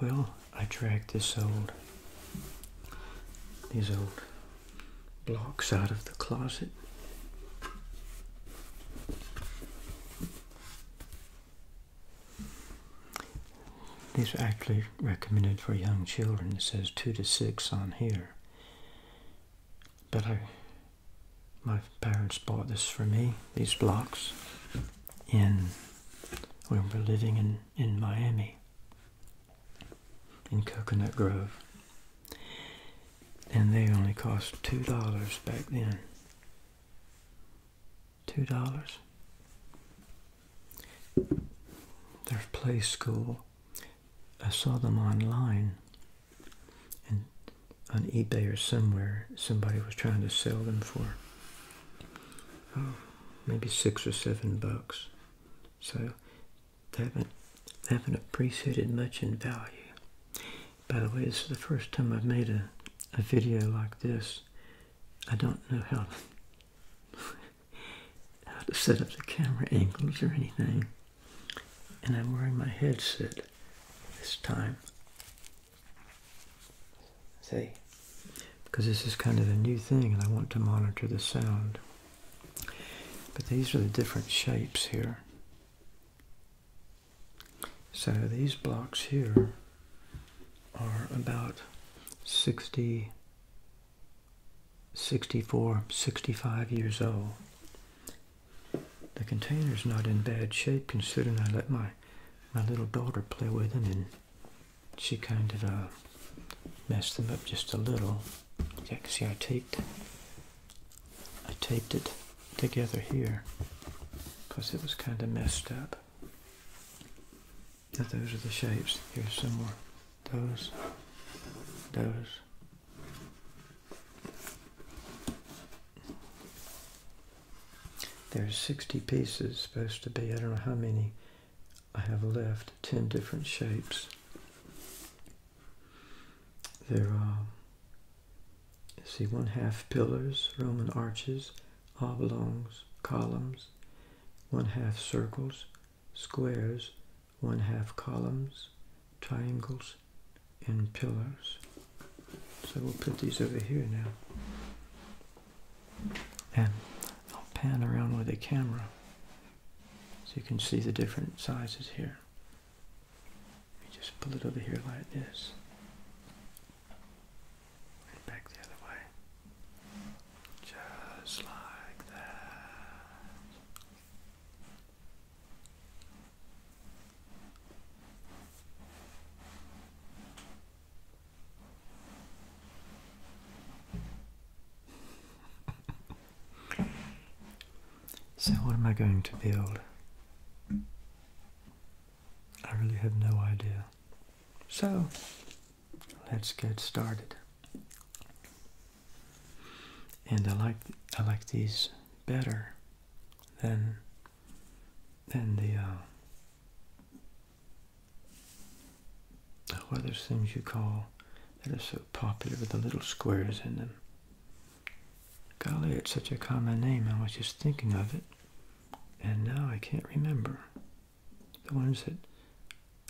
Well, I dragged this old these old blocks out of the closet. These are actually recommended for young children. It says two to six on here. But my parents bought this for me, these blocks, in when we were living in, in Miami, in Coconut Grove. And they only cost $2 back then two dollars. There's Play School. I saw them online, and on eBay or somewhere, somebody was trying to sell them for oh, maybe six or seven bucks. So they haven't they haven't appreciated much in value. By the way, this is the first time I've made a, a video like this. I don't know how how to set up the camera angles or anything. And I'm wearing my headset this time. See? Because this is kind of a new thing and I want to monitor the sound. But these are the different shapes here. So these blocks here are about 60, 64, 65 years old. The container's not in bad shape considering I let my, my little daughter play with them and she kind of uh, messed them up just a little. Yeah, see I taped, I taped it together here because it was kind of messed up. Now those are the shapes. Here's some more. Those, those. There's 60 pieces supposed to be. I don't know how many I have left. 10 different shapes. There are um, see one half pillars, Roman arches, oblongs, columns, one half circles, squares, one half columns, triangles, and pillars. So we'll put these over here now. And I'll pan around with the camera so you can see the different sizes here just pull it over here like this. And back the other way. Just like that. so, what am I going to build? I really have no idea. So, let's get started. And I like I like these better than than the uh, other things you call that are so popular with the little squares in them? Golly, it's such a common name. I was just thinking of it, and now I can't remember. The ones that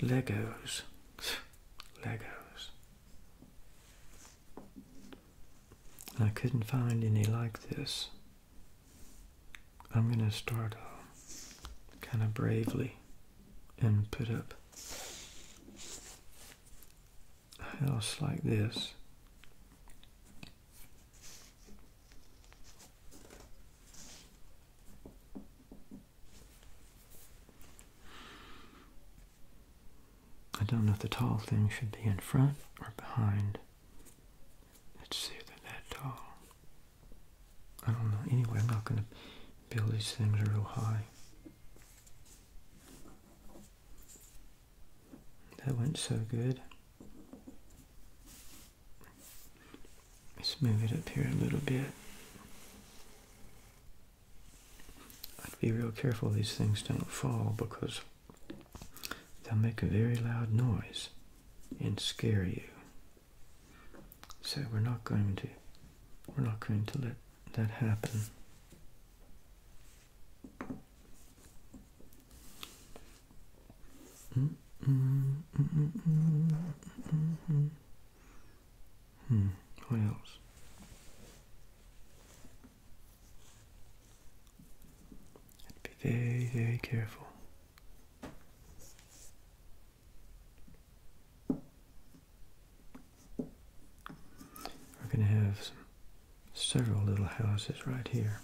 Legos, Legos. I couldn't find any like this. I'm gonna start uh, kind of bravely and put up a like this I don't know if the tall thing should be in front or behind. Let's see if they tall. I don't know. Anyway, I'm not going to build these things real high. That went so good. Let's move it up here a little bit. I'd be real careful these things don't fall because they'll make a very loud noise and scare you. So we're not going to we're not going to let that happen. Mm -mm, mm hmm, what else? I'd be very, very careful. We're going to have some several little houses right here.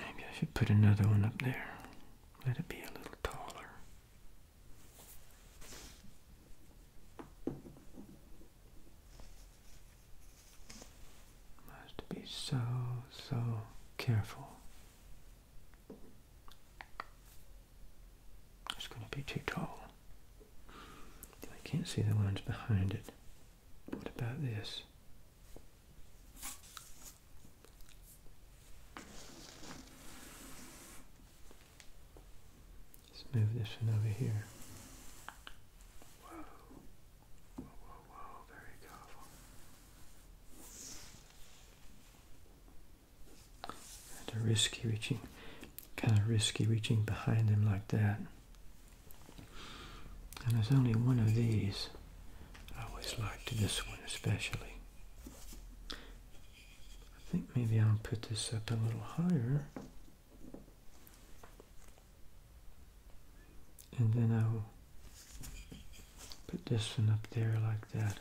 Maybe I should put another one up there. Let it be a little taller. I be so, so careful it's going to be too tall. I can't see the lines behind it. What about this? Let's move this one over here. Whoa, whoa, whoa, very careful. Kind of risky reaching, kind of risky reaching behind them like that. And there's only one of these. I always liked this one especially. I think maybe I'll put this up a little higher and then I will put this one up there like that.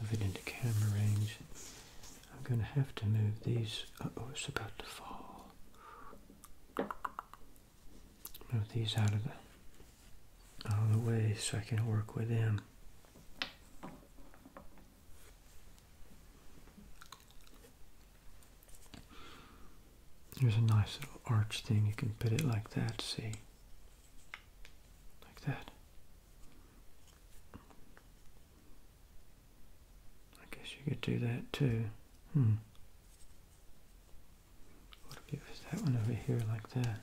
Move it into camera range. I'm going to have to move these. oh, it's about to fall. Move these out of the out of the way so I can work with them. There's a nice little arch thing. You can put it like that, see? Like that. I guess you could do that too. Hmm. What if you was that one over here like that?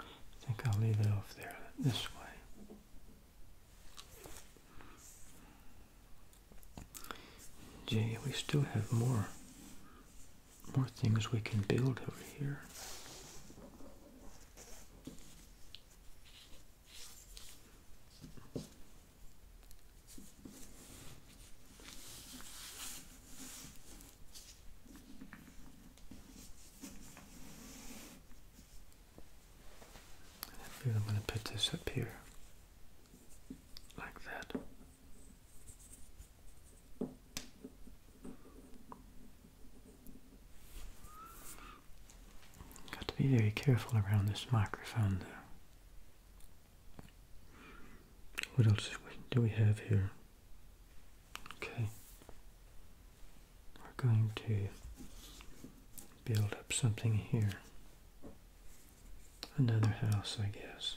I think I'll leave it off there this way. Gee, we still have more, more things we can build over here. I am going to put this up here like that. Got to be very careful around this microphone though. What else do we have here? Okay, we're going to build up something here. Another house, I guess.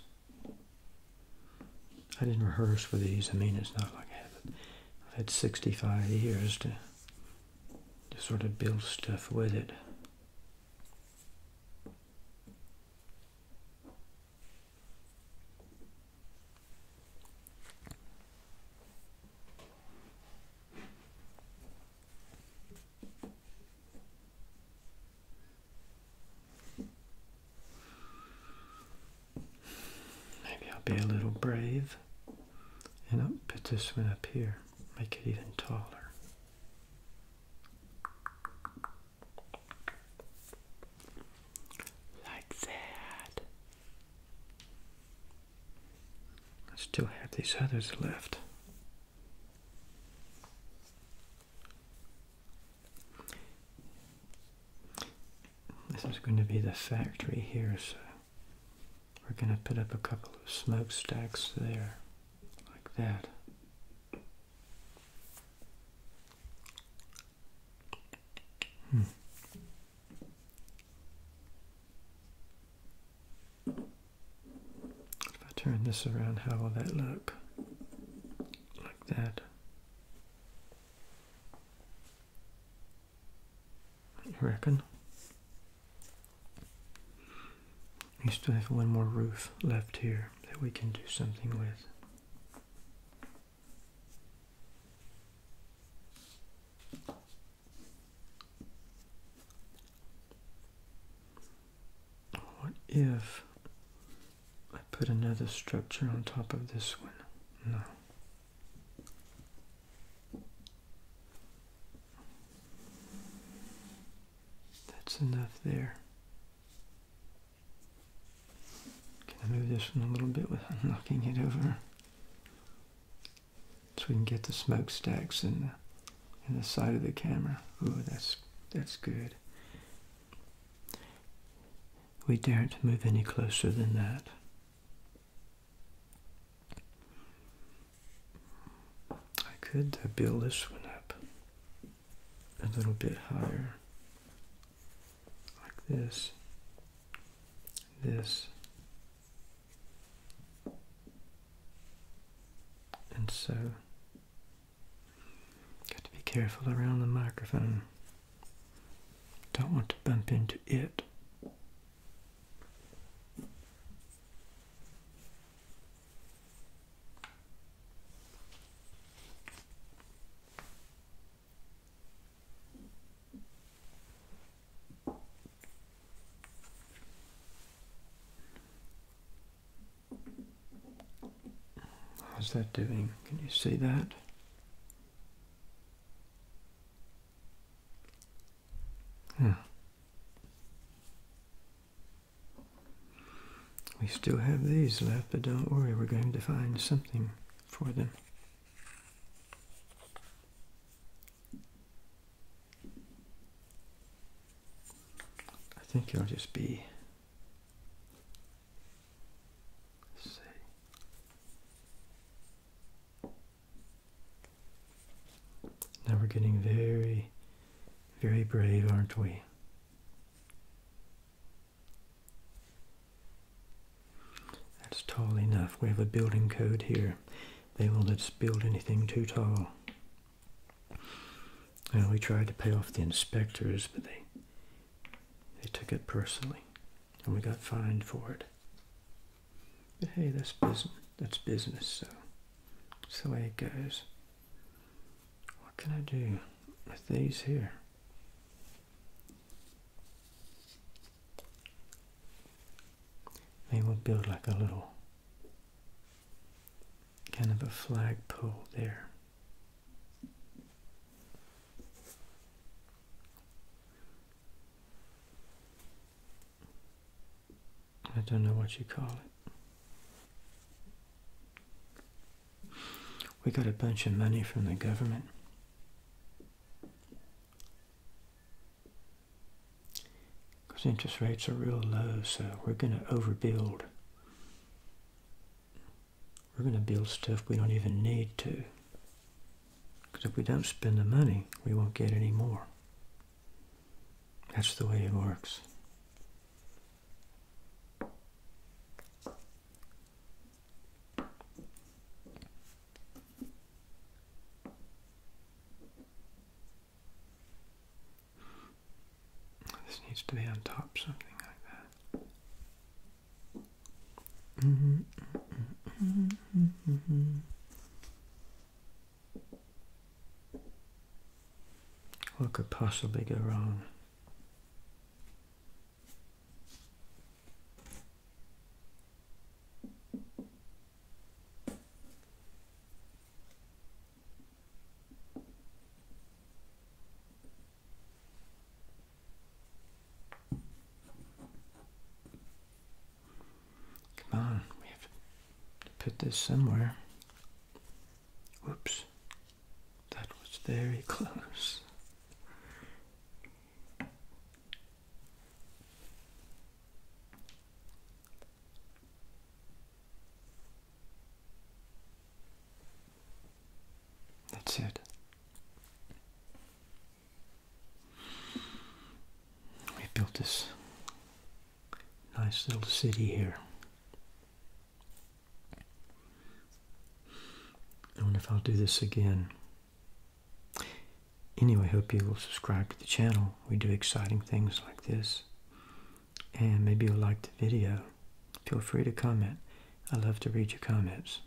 I didn't rehearse for these. I mean, it's not like I had 65 years to, to sort of build stuff with it. Maybe I'll be a little brave and I'll put this one up here, make it even taller. Like that. I still have these others left. This is going to be the factory here, so we're going to put up a couple of smokestacks there, like that. Hmm. If I turn this around, how will that look? Like that. I reckon? We still have one more roof left here that we can do something with. What if I put another structure on top of this one? No. That's enough there. Can I move this one a little bit without knocking it over? So we can get the smokestacks in the, in the side of the camera. Ooh, that's, that's good. We daren't move any closer than that. I could uh, build this one up a little bit higher, like this, this, and so. Got to be careful around the microphone. Don't want to bump into it. How's that doing? Can you see that? Hmm. We still have these left, but don't worry, we're going to find something for them. I think it'll just be see. Now we're getting very, very brave, aren't we? That's tall enough. We have a building code here. They won't let us build anything too tall. Well, we tried to pay off the inspectors, but they they took it personally, and we got fined for it. But hey, that's business. That's business. So, so it goes. What can I do with these here? Maybe we'll build like a little kind of a flagpole there. I don't know what you call it. We got a bunch of money from the government. Because interest rates are real low, so we're going to overbuild. We're going to build stuff we don't even need to. Because if we don't spend the money, we won't get any more. That's the way it works. This needs to be on top, something like that. Mm-hmm. Mm-hmm. Mm-hmm. What could possibly go wrong? Come on, we have to put this somewhere. Whoops. That was very close. That's it. We built this nice little city here. I wonder if I'll do this again. Anyway, hope you will subscribe to the channel. We do exciting things like this. And maybe you'll like the video. Feel free to comment. I love to read your comments.